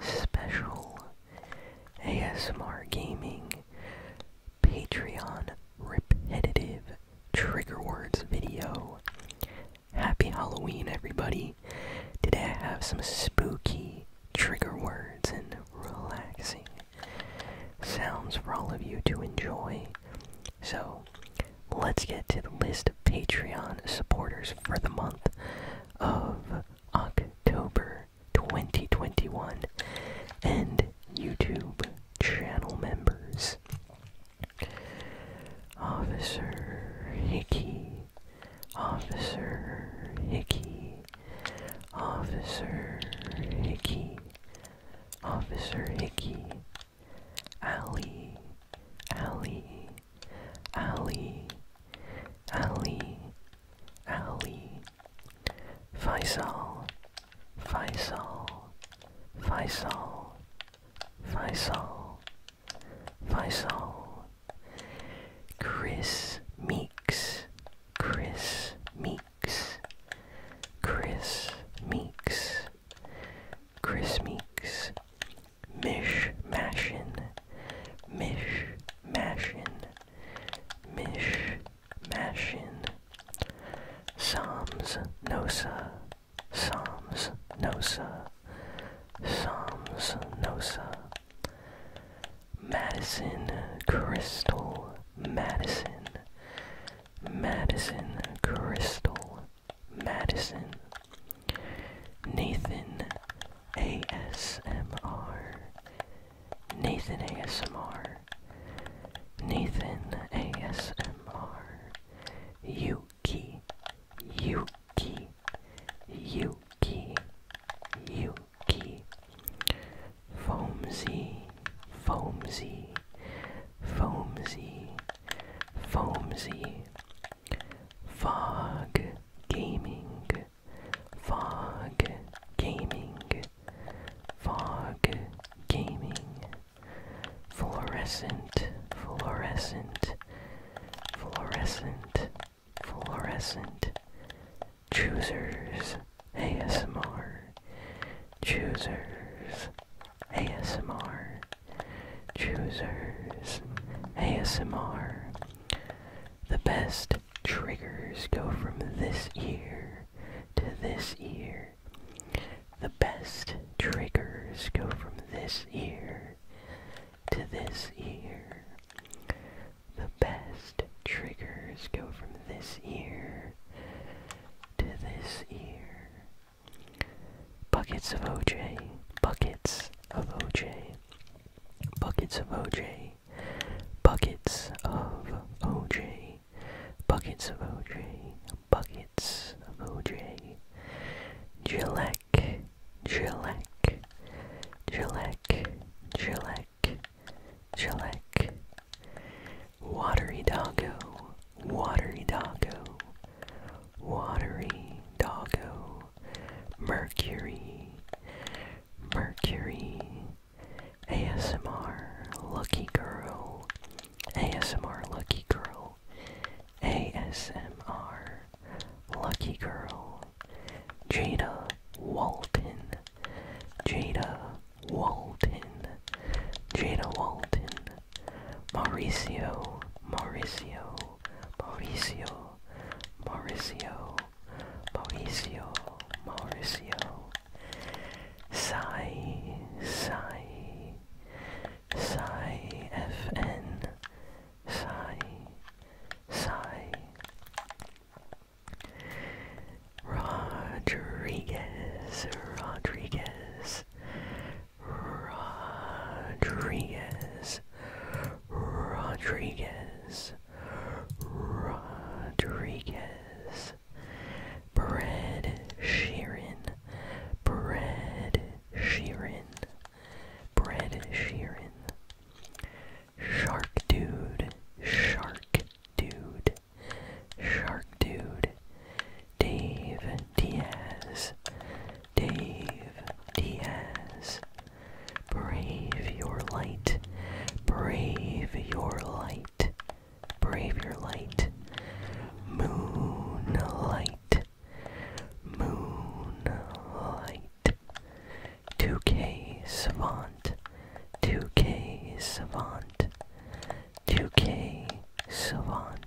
special ASMR Gaming Patreon repetitive trigger words video. Happy Halloween, everybody! Today I have some spooky trigger words and relaxing sounds for all of you to enjoy. So, let's get to the list of Patreon supporters for the month of October 2021, and YouTube channel members. Officer Hickey, Officer Hickey, Officer Hickey, Officer Hickey, Alley, Alley, Ali, Ali, Ali, Faisal, Faisal, Faisal, Faisal, Faisal, Chris Meeks, Chris Meeks, Chris Meeks, Chris Meeks, Mish mashing, Mish mashing, Mish mashing. Psalms Nosa, Psalms Nosa, Psalms Nosa. Madison Crystal, Madison, Madison Crystal, Madison Nathan ASMR, Nathan ASMR, Nathan ASMR, Yuki, Yuki, Yuki, Yuki, Foamsy, Foamsy, Foamsy, Foamsy, Fog Gaming, Fog Gaming, Fog Gaming, Fluorescent, Fluorescent, Fluorescent, Fluorescent, Choosers ASMR, Choosers ASMR. Choosers ASMR. The best triggers go from this ear to this ear. The best triggers go from this ear to this ear. The best triggers go from this ear to this ear. Buckets of OJ. Buckets of OJ. Buckets of OJ. Buckets of OJ. Buckets of OJ. Buckets of OJ. Gillek. Gillek. Gillek. Gillek. Gillek. Watery doggo. Watery doggo. Watery doggo. Mercury, Mercury, ASMR, Lucky Girl, ASMR, Lucky Girl, ASMR, Lucky Girl, Jada Walton, Jada Walton, Jada Walton, Mauricio, Mauricio, Mauricio, Mauricio, Mauricio, Mauricio. Sai, Sai, Sai FN, Sai, Rodriguez, Rodriguez, Rodriguez, Rodriguez, Rodriguez, Bread Sheeran, Bread Sheeran, Bread Sheeran, Shark Dude, Shark Dude, Shark Dude, Dave Diaz, Dave Diaz. Brave your light. Brave your light. Brave your light. Moonlight. Moonlight. 2K Savant. 2K Savant. 2K Savant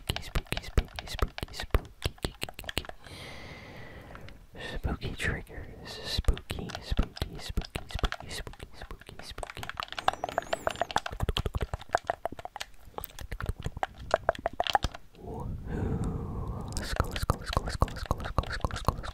spooky, spooky, spooky, spooky, spooky, spooky, spooky triggers, spooky, spooky, spooky, spooky, spooky, spooky, spooky. Woohoo! Let's go, let's go, let's go, let's go, let's go, let's go, let's go, let's go, let's go.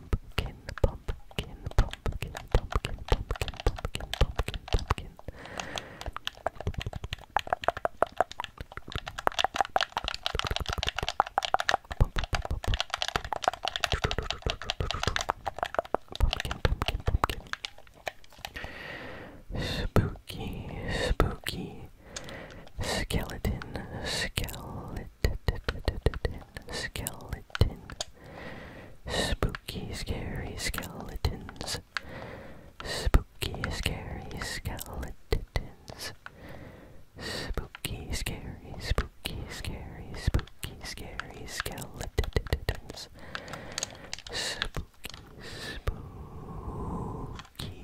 pumpkin, pumpkin, pumpkin, pumpkin, pumpkin, pumpkin, pumpkin, pumpkin. Pumpkin, pumpkin, pumpkin. Spooky, spooky skeleton, skeleton skeleton. Spooky, scary skeletons. Spooky, scary skeletons. Spooky, scary, spooky, scary, spooky, scary skeletons. Spooky, spooky.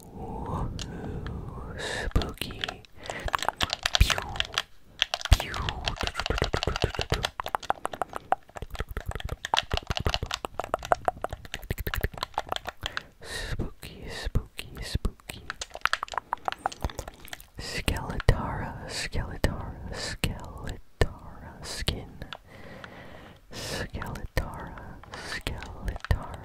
Woohoo! Spooky! Pew! Pew! Spooky, spooky, spooky. Skeletara, Skeletara, Skeletara skin. Skeletara, Skeletara.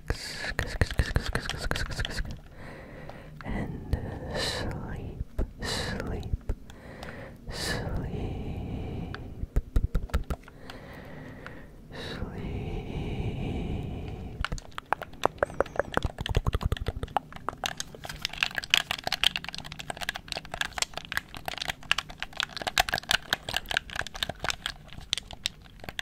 relax and sleep, sleep, sleep, sleep.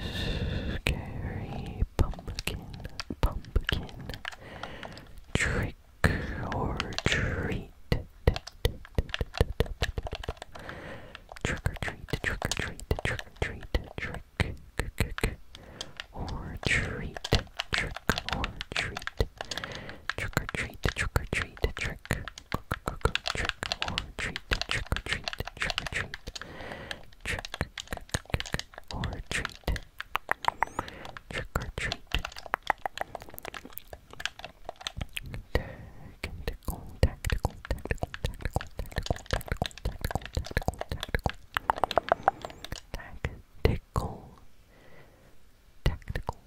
Scary pumpkin, pumpkin, trick or treat. Trick or treat, trick or treat, trick or treat, trick, trick or treat, trick or treat, trick or treat, trick or treat, treat, trick, or treat, trick or treat, trick or treat, trick, or treat, trick or treat. tactical, tactical, tactical, tactical, tactical, tactical, tactical, tactical, tactical, tactical,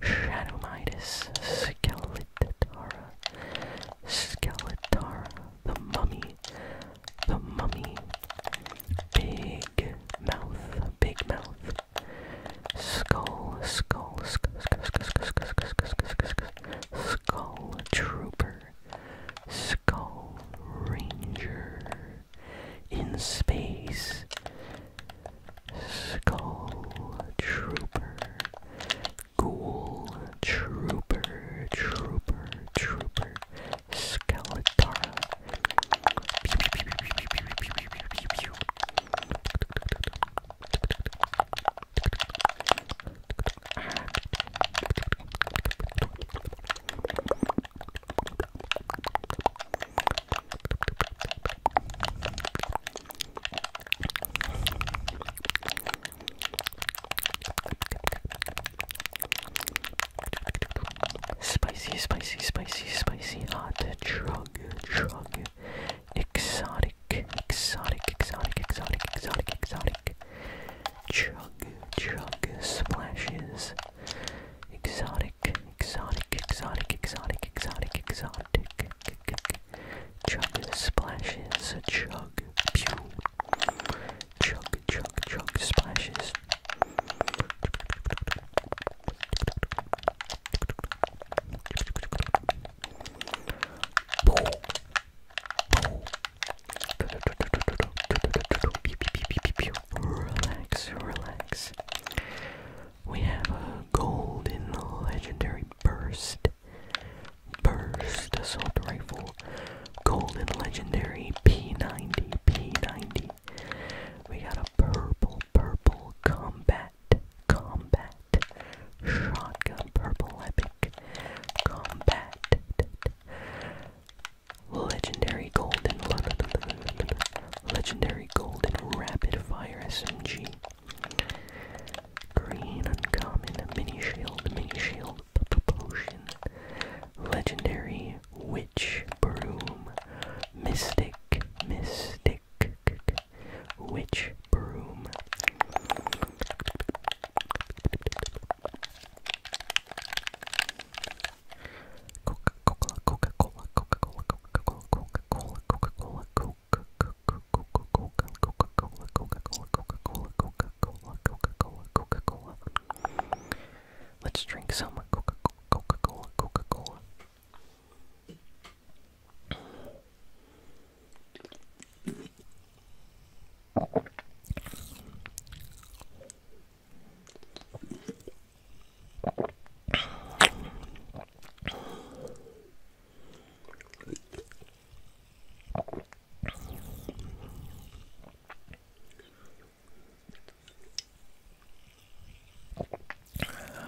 Shadowmidas, Skeletara, Skeletara, the Mummy, the Mummy, Big Mouth, Big Mouth, Skull, Skull, Skull, Skull, Skull, Skull, Skull, Skull, Skull, Skull Trooper, Skull Ranger, in space Skull Trooper, Ghoul Trooper, Trooper, Trooper, Skeletara. Spicy, spicy, spicy, spicy, hot, chug, chug, exotic, exotic, exotic, exotic, exotic, exotic, chug, chug, splashes, Exotic, exotic, exotic, exotic, exotic, exotic. Chug splashes, chug, pew. Chug, chug, chug splashes. Relax, relax. We have a golden legendary burst. Burst assault rifle. Golden legendary P90. P90. We got a purple, purple combat. Combat. Shotgun purple epic. Combat. Legendary golden Legendary Golden Rapid Fire SMG. Green Uncommon Mini Shield, Mini Shield Potion. Legendary Witch Broom. Mystic, Mystic. Witch Broom. Coca-Cola, Coca-Cola, Coca-Cola, Coca-Cola, Coca-Cola, Coca-Cola, Coca-Cola, Coca-Cola, Coca-Cola, Coca-Cola, Coca-Cola, Coca-Cola, Coca-Cola. Let's drink some Coca-Cola, Coca-Cola.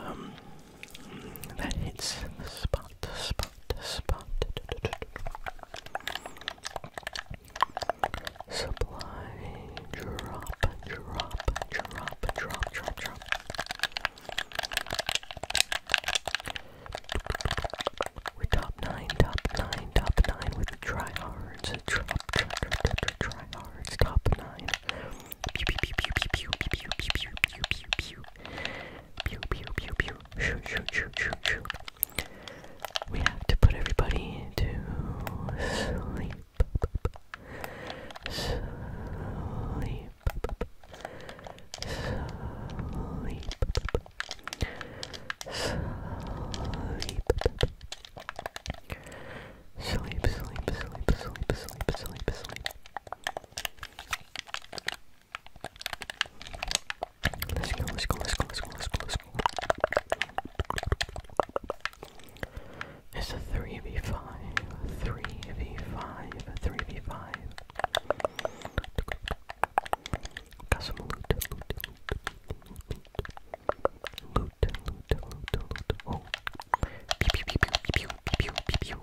Um, that hits the spot, spot, spot. Supply drop, drop, drop, drop, drop, drop. We're top nine, top nine, top nine with the tryhards. Drop, drop, drop, drop, tryhards. Top nine. Pew, pew, pew, pew, pew, pew, pew, pew, pew, pew, pew. Pew, pew, pew, pew. Shoot, shoot, shoot, shoot, shoot. We have to put everybody to sleep sleep, sleep, sleep. Sleep, sleep, sleep, sleep, sleep, sleep, sleep. Let's go, let's go, let's go, let's go, let's go, let's go. It's a 3v5, 3v5, 3v5. Got some loot, loot, loot, loot, loot, loot, loot, loot. Oh, pew, pew, pew, pew, pew, pew, pew, pew.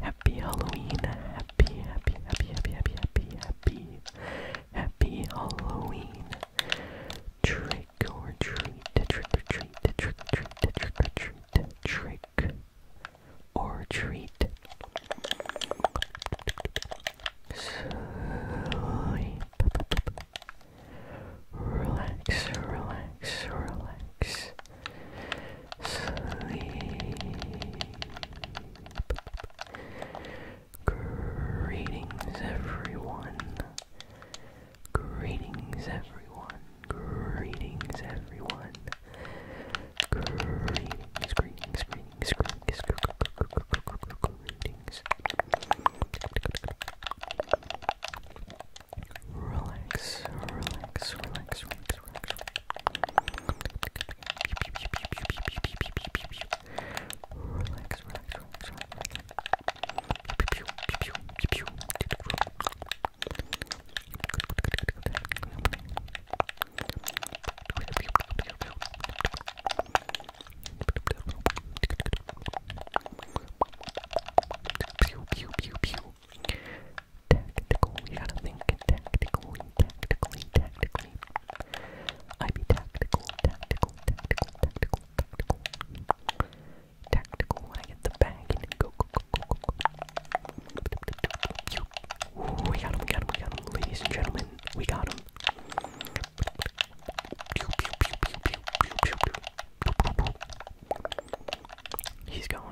Happy Halloween. Happy, happy, happy, happy, happy, happy, happy. Happy Halloween. Trick or treat, trick or treat, trick or treat, trick or treat, trick or treat. Sleep. Relax, relax, relax sleep. Greetings, everyone. Greetings, everyone. Greetings, everyone. Greetings, greetings, greetings, greetings, greetings. Relax, relax, relax, relax, relax. Relax, relax, relax, relax. Pew pew pew pew Tactical. We gotta think tactically, tactically, tactically. I be tactical, tactical, tactical, tactical, tactical. Tactical I get the bag Ooh, we got him, we got him, we got him. Ladies and gentlemen, we got him. He's going.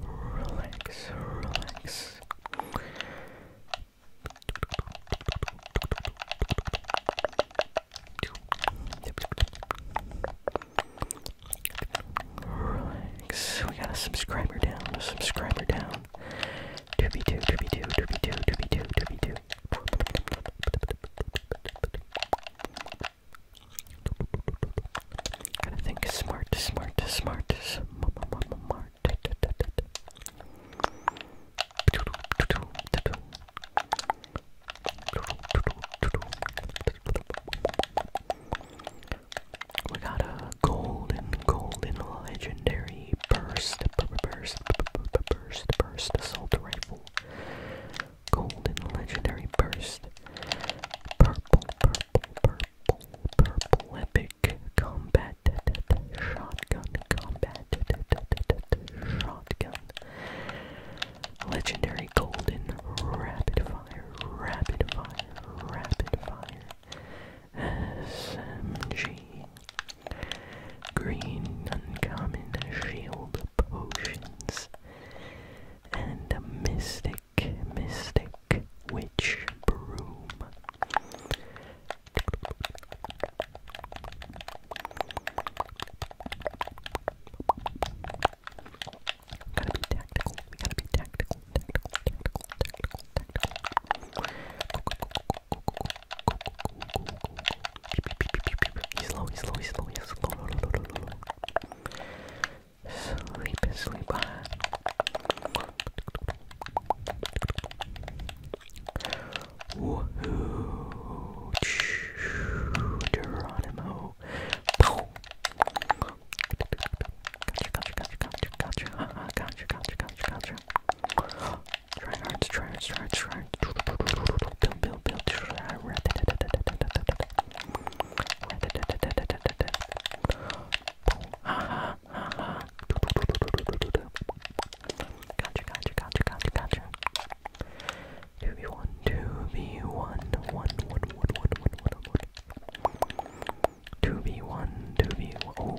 Relax, relax. Relax. We got a subscriber down, subscriber down. Derby two, derby two, derby two, derby two, derby two. Gotta think smart, smart, smart, smart. We got a golden, golden legendary burst, burst, burst, burst assault rifle golden legendary burst, purple, purple, purple, purple epic combat, shotgun combat, shotgun, legendary golden rapid fire, rapid fire, rapid fire, SMG green uncommon shield potions, and a mystic, mystic witch broom. He's low, he's low, he's low, he's low, low, low, low, low, low. Sleep, sleep. Woohoo! Geronimo. Gotcha, gotcha, gotcha, gotcha, gotcha, gotcha, gotcha, gotcha. Try hard, try hard, try hard, try hard. Build, build, build. Ha ha ha ha. Gotcha, gotcha, gotcha, gotcha, gotcha. 2v1, 2v1, 1, 1, 1, 1, 1, 1, 1, 1. 2v1, 2v1, oh.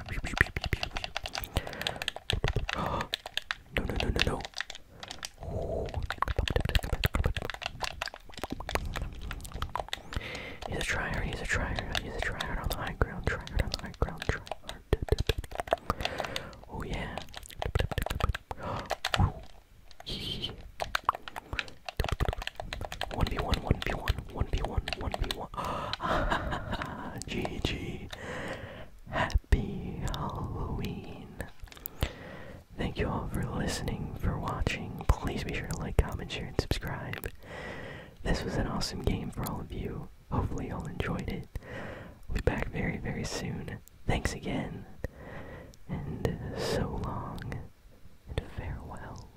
no, no, no, no, no. He's a trier, he's a trier, he's a trier on the high ground, trier on the high ground, trier. Oh yeah. One v one, one v one, one v one, one v one. GG. Happy Halloween. Thank you all for listening, for watching. Please be sure to like, comment, share, and subscribe. This was an awesome game for all of you. Hopefully, you all enjoyed it. We'll be back very, very soon. Thanks again. And so long. And farewell.